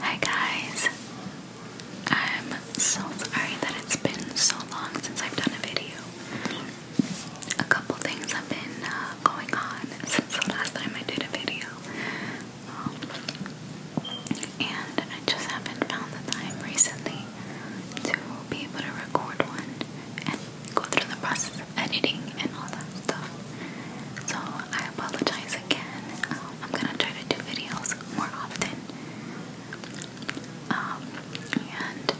Hi guys! I'm so sorry that it's been so long since I've done a video. A couple things have been uh, going on since the last time I did a video. and I just haven't found the time recently to be able to record one and go through the process of editing and all that stuff. So I apologize again. Um, I'm gonna try to do videos more often. Um, and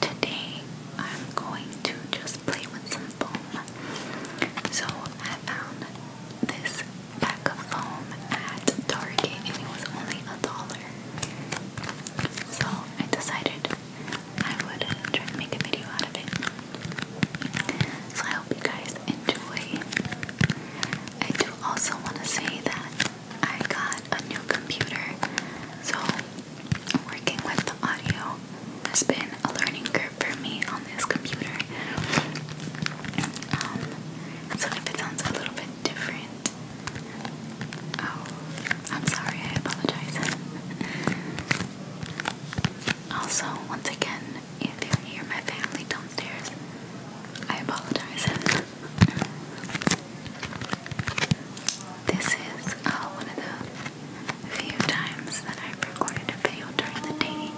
today I'm going to just play with some foam. So I found this pack of foam at Target and it was only a dollar. So I decided I would try to make a video out of it. So I hope you guys enjoy. I do also want to say that I got a new computer, so working with the audio has been a learning curve for me on this computer. Um, so if it sounds a little bit different, oh, I'm sorry, I apologize. Also, once again, if you hear my family downstairs, I apologize. this is uh, one of the few times that I've recorded a video during the day.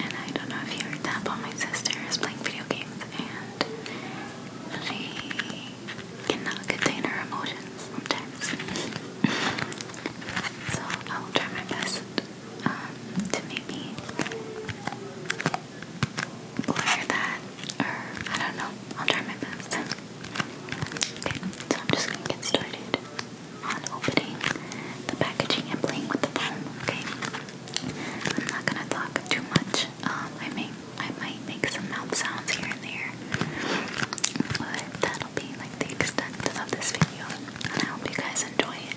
And I don't know if you heard that, but my sister is playing video games and she cannot contain her emotions so I will try my best um, to maybe clear that, or I don't know. I'll try my best. Okay, so I'm just gonna get started on opening the packaging and playing with the foam. Okay, I'm not gonna talk too much. Um, I may, I might make some mouth sounds here and there, but that'll be like the extent of this video, and I hope you guys enjoy it.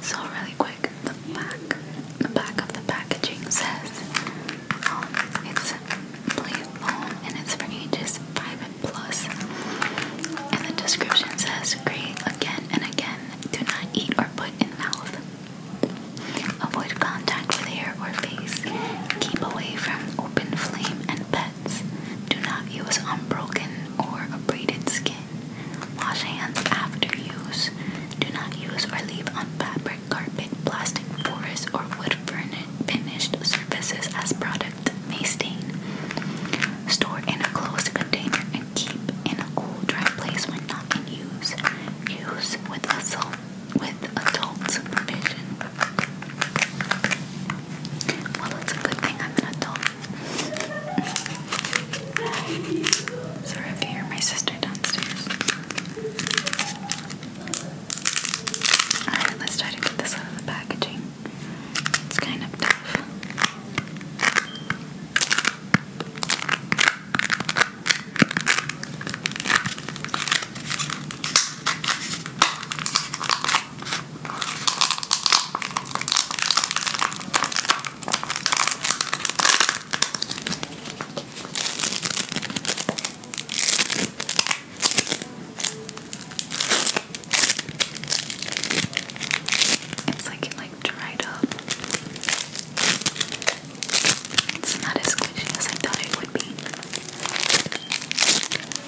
So really quick, the back, the back of the packaging says, um, it's play alone and it's for ages five and plus. And the description says, create again and again. Do not eat or put in mouth. Avoid contact with hair or face. Keep away from open flame and pets." Do not use unbroken or abraded skin. Wash hands after use. Do not use or leave on fabric, carpet, plastic, forest, or wood finished surfaces as product may stain. Store in a closed container and keep in a cool, dry place when not in use. Use with adult supervision. Well, it's a good thing I'm an adult. Sorry if you hear my sister downstairs. Alright, let's try to get this out of the packaging. It's kind of tough. It's like it like dried up. It's not as squishy as I thought it would be.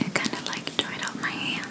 It kind of like dried out my hands.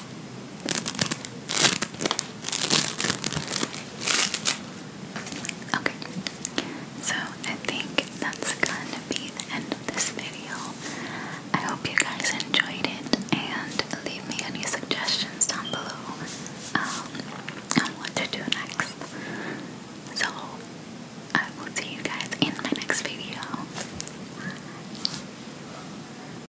Okay, so I think that's gonna be the end of this video. I hope you guys enjoyed it and leave me any suggestions down below um, on what to do next. So I will see you guys in my next video.